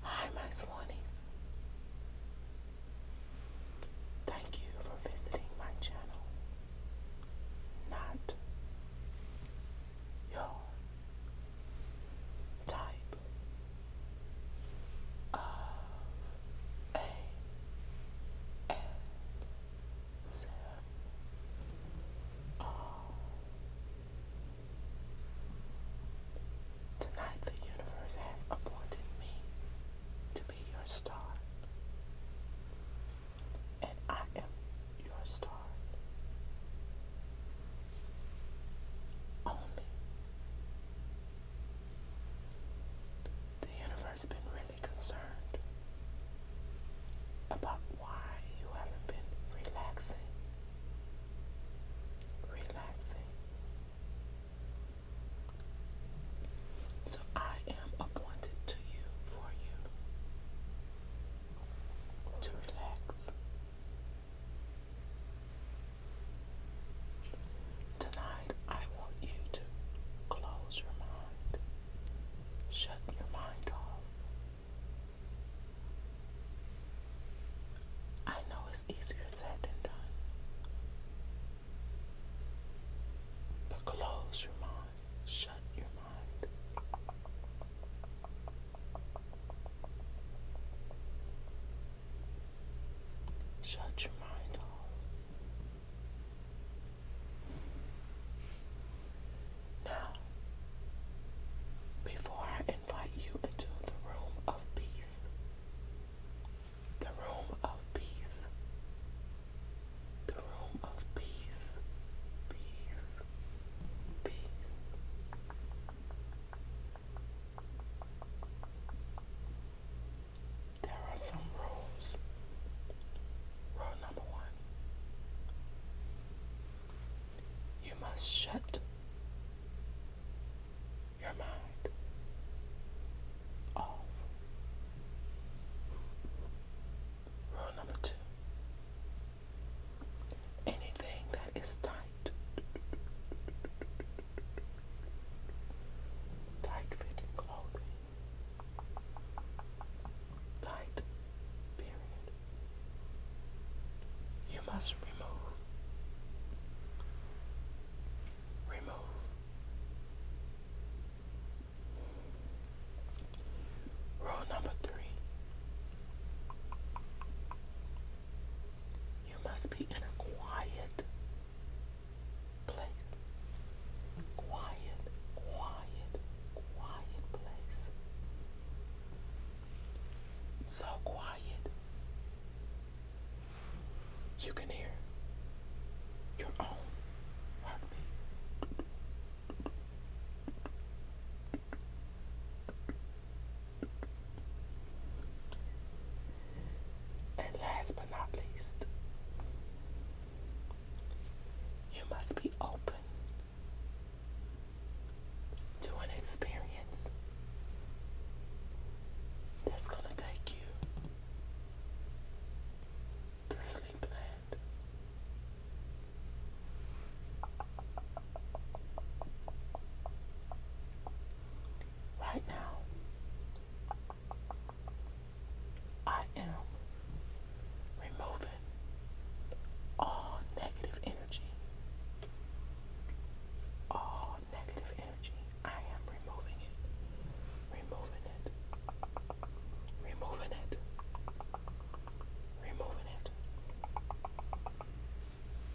Hi, my swanies. Thank you for visiting my channel. Not your type of a S M R Tonight, the universe has appointed me to be your star, and I am your star. Only the universe has been really concerned about why you haven't been relaxing relaxing. So I am appointed to you for you to relax. Tonight, I want you to close your mind, shut your mind off, I know it's easier said than done. But close your mind, shut your mind. Shut your mind off. Now, before I invite you into the room of peace, the room of peace, the room of peace, peace, peace. There are some rules. Rule number one you must shut your mind off. Rule number two anything that is tight, tight fitting clothing, tight period. You must remove, remove, rule number three. You must be in a quiet place. Quiet, quiet, quiet place. So quiet. You can hear your own heartbeat. And last but not least, you must be open to an experience that's going to take you to sleep land. Right now, I am removing all negative energy. All negative energy. I am removing it. Removing it. Removing it. Removing it.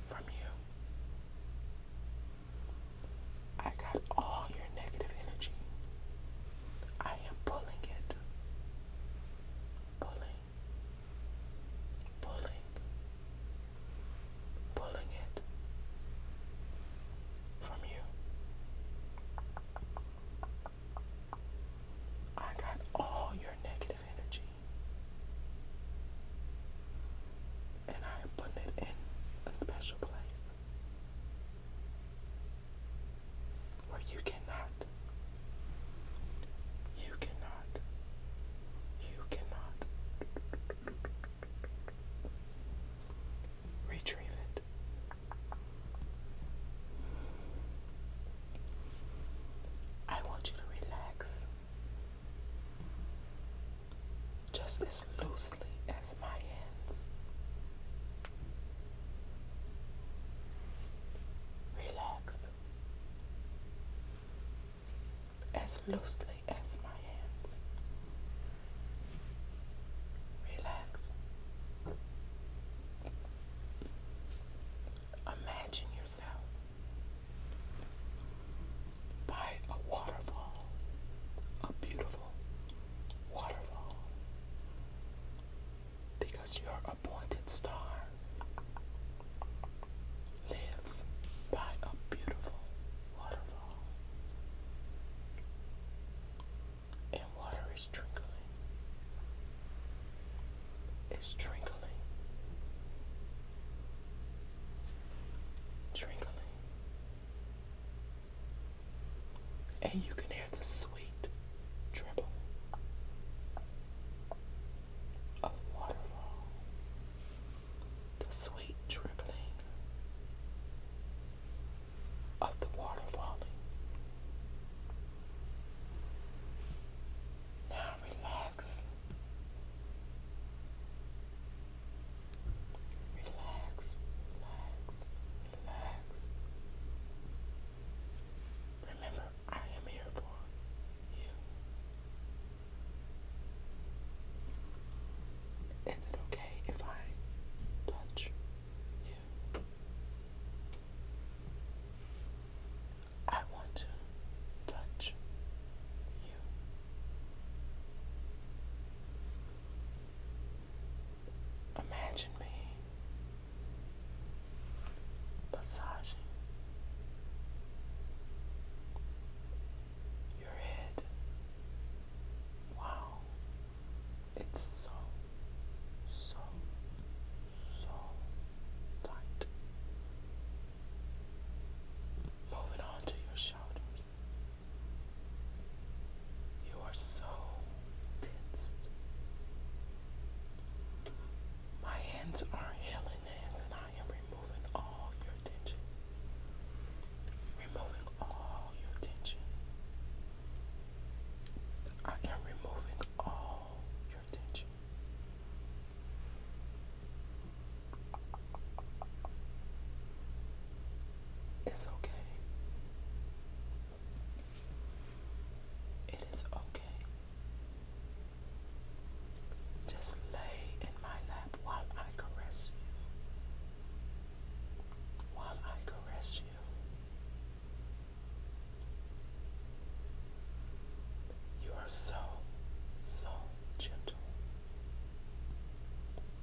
From you. I got all your negative energy. I am pulling it pulling, pulling, pulling it from you. I got all your negative energy. And I am it in a special place. Where you cannot. You cannot. You cannot. Retrieve it. I want you to relax just as loosely as my hands. Relax as loosely as my hands. Relax. Imagine yourself by a waterfall, a beautiful waterfall because your appointed star lives by a beautiful waterfall, and water is trickling. It's trickling, trickling, and you can hear the sweet dribble of waterfall, the sweet dribbling of the water Now relax. Relax, relax, relax, Remember, I am here for you. Is it okay if I touch you? I want to touch you. Imagine me massaging your head. Wow, it's so, so, so tight. Moving on to your shoulders. You are so tense. My hands are healing hands, and I am removing all your tension. Removing all your tension. I am removing all your tension. It's okay. It is okay. Just lay in my lap while I caress you. While I caress you. You are so, so gentle.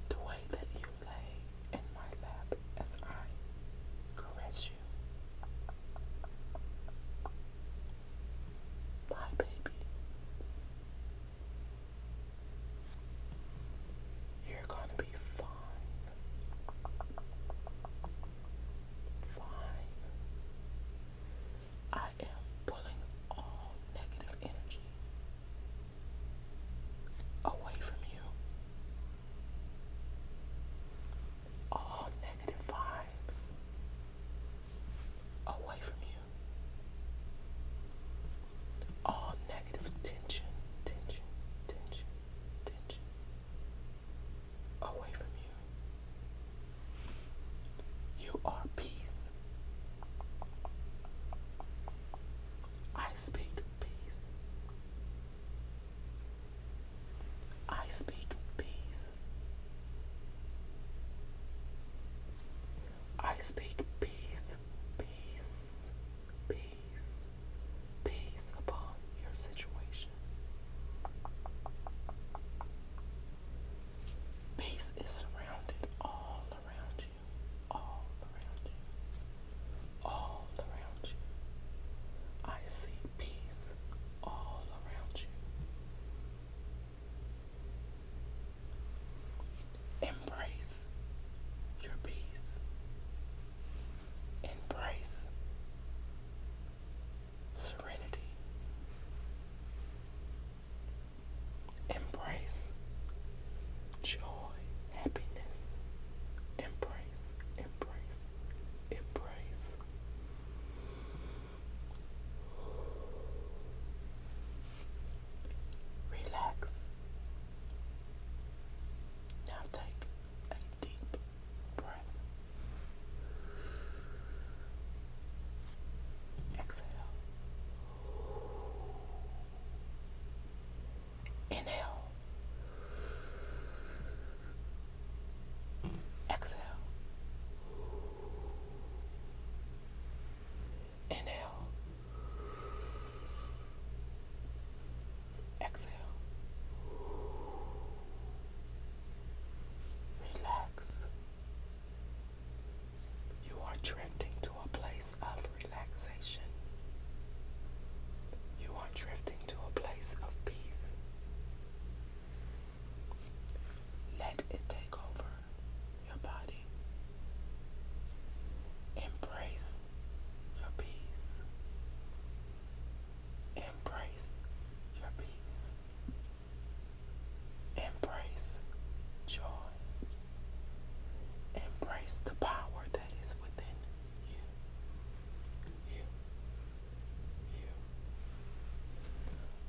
The way that you lay in my lap as I caress you. Bye, baby. You're gonna be fine. Fine. I am pulling all negative energy away from you. All negative vibes away from you. All negative tension, tension, tension, tension away from you. You are peace. I speak peace. I speak peace. I speak peace, peace, peace, peace upon your situation. Peace is surrounded all around you all around you, all around you. I see peace all around you. Embrace your peace. Embrace serenity. Embrace joy happiness. Embrace, embrace, embrace. Relax. Now take a deep breath. Exhale. Inhale. Exhale. Inhale. Exhale. Relax. You are drifting to a place of relaxation. You are drifting to a place of peace. Let it take over your body. Embrace your peace. Embrace your peace. Embrace joy. Embrace the power that is within you.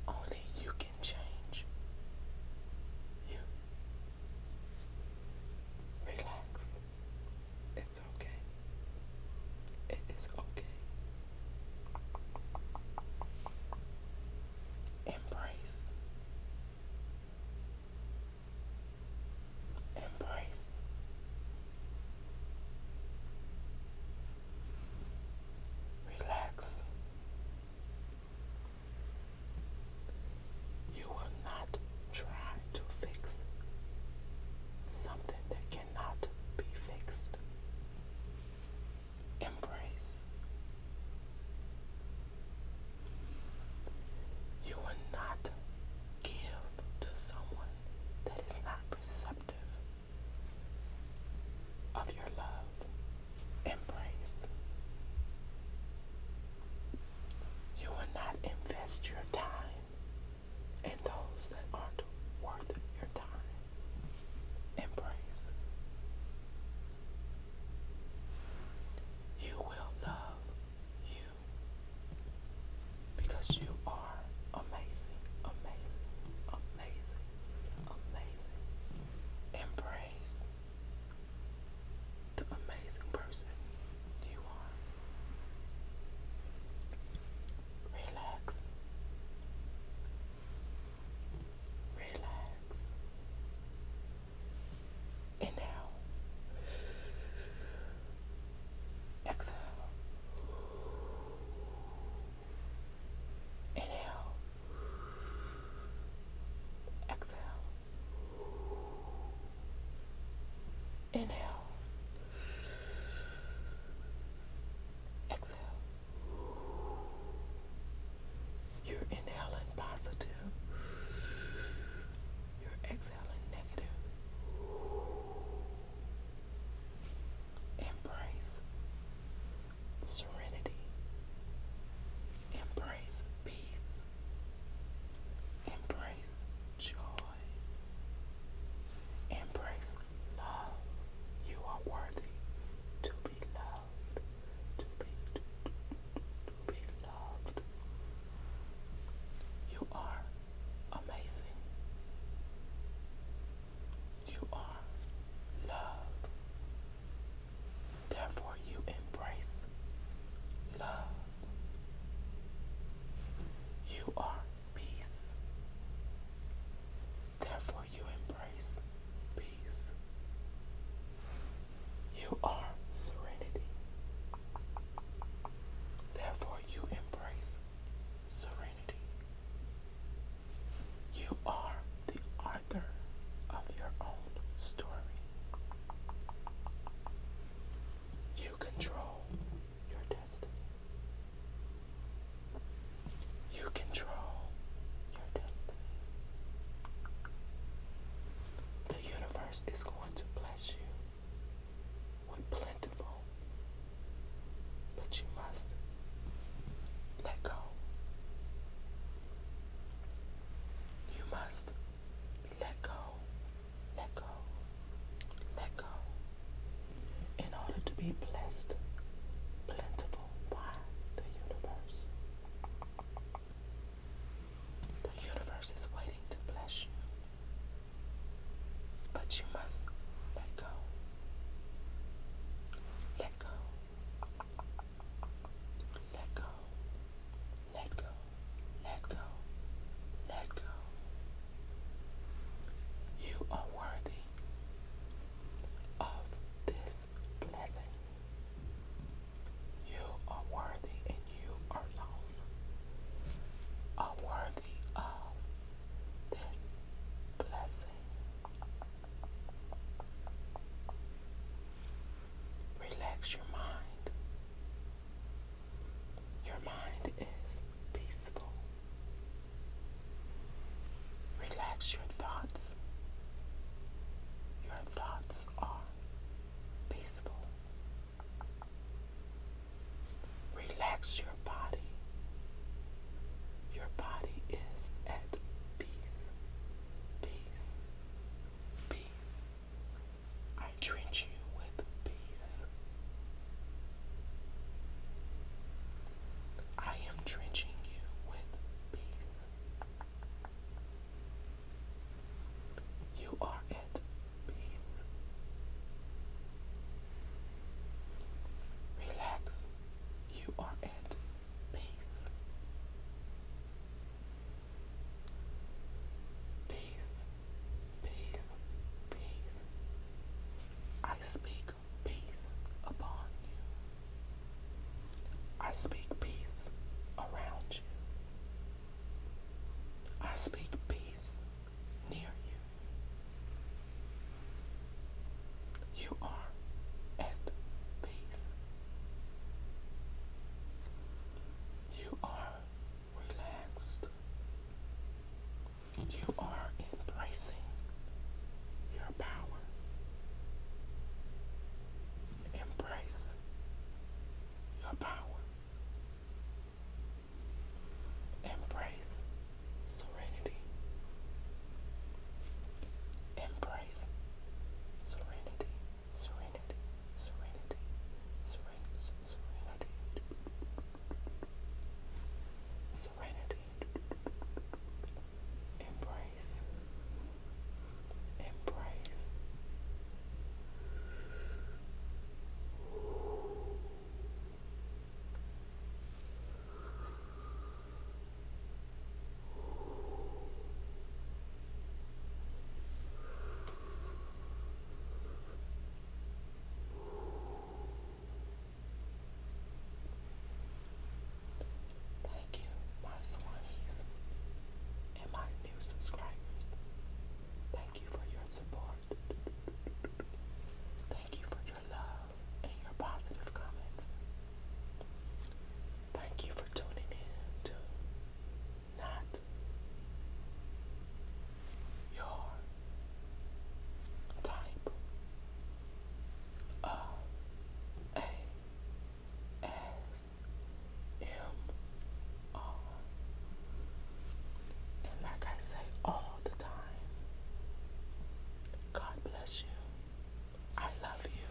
Only you can change. You. Relax. It's okay. It is okay. Embrace Embrace. Relax. You will not try to fix something that cannot be fixed. Embrace you will not give to someone that is not receptive of your love and praise. You will not invest your time in those that aren't worth your time Embrace. You will love you because you are amazing, amazing, amazing, amazing. Embrace the amazing person you are. Relax. Relax. And exhale. Inhale. Exhale. Inhale. Exhale. You're inhaling positive. You're exhaling negative. Embrace serenity. Embrace peace. Embrace joy. Embrace love. You are worthy to be loved to be loved. You are amazing. You are love. Therefore, you embrace love. You are peace. Therefore, for you embrace peace. You are serenity. Therefore, you embrace serenity. You are the author of your own story. You control your destiny. You control your destiny. The universe is going to bless you with plentiful, but you must let go. You must let go, let go, let go in order to be blessed, plentiful by the universe. The universe is waiting to bless you, but you must let go. Let go. Let go. Let go. Let go. Let go. You are worthy of this is You are worthy and you alone are worthy of this blessing. Relax your mind. Your mind is peaceful. Relax your thoughts. Your thoughts are peaceful. Relax your body. Your body is at peace. Peace. Peace. I drench you with peace. I am drenching you with peace. You are at peace. Relax. You are at peace. Peace, peace, peace. I speak peace upon you. I speak peace around you. I speak peace near you. You are at peace. You are relaxed. You are embracing your power. Embrace your power. Embrace serenity. Embrace serenity, serenity, serenity, serenity, serenity. Serenity. Embrace. Embrace. Thank you, my Swannies and my new subscribers. Thank you for your support. Thank you for your love and your positive comments. Thank you for tuning in to Not Your Type. O A S M R. And like I say all the time, God bless you. I love you.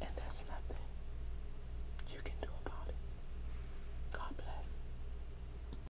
And there's nothing you can do about it. God bless.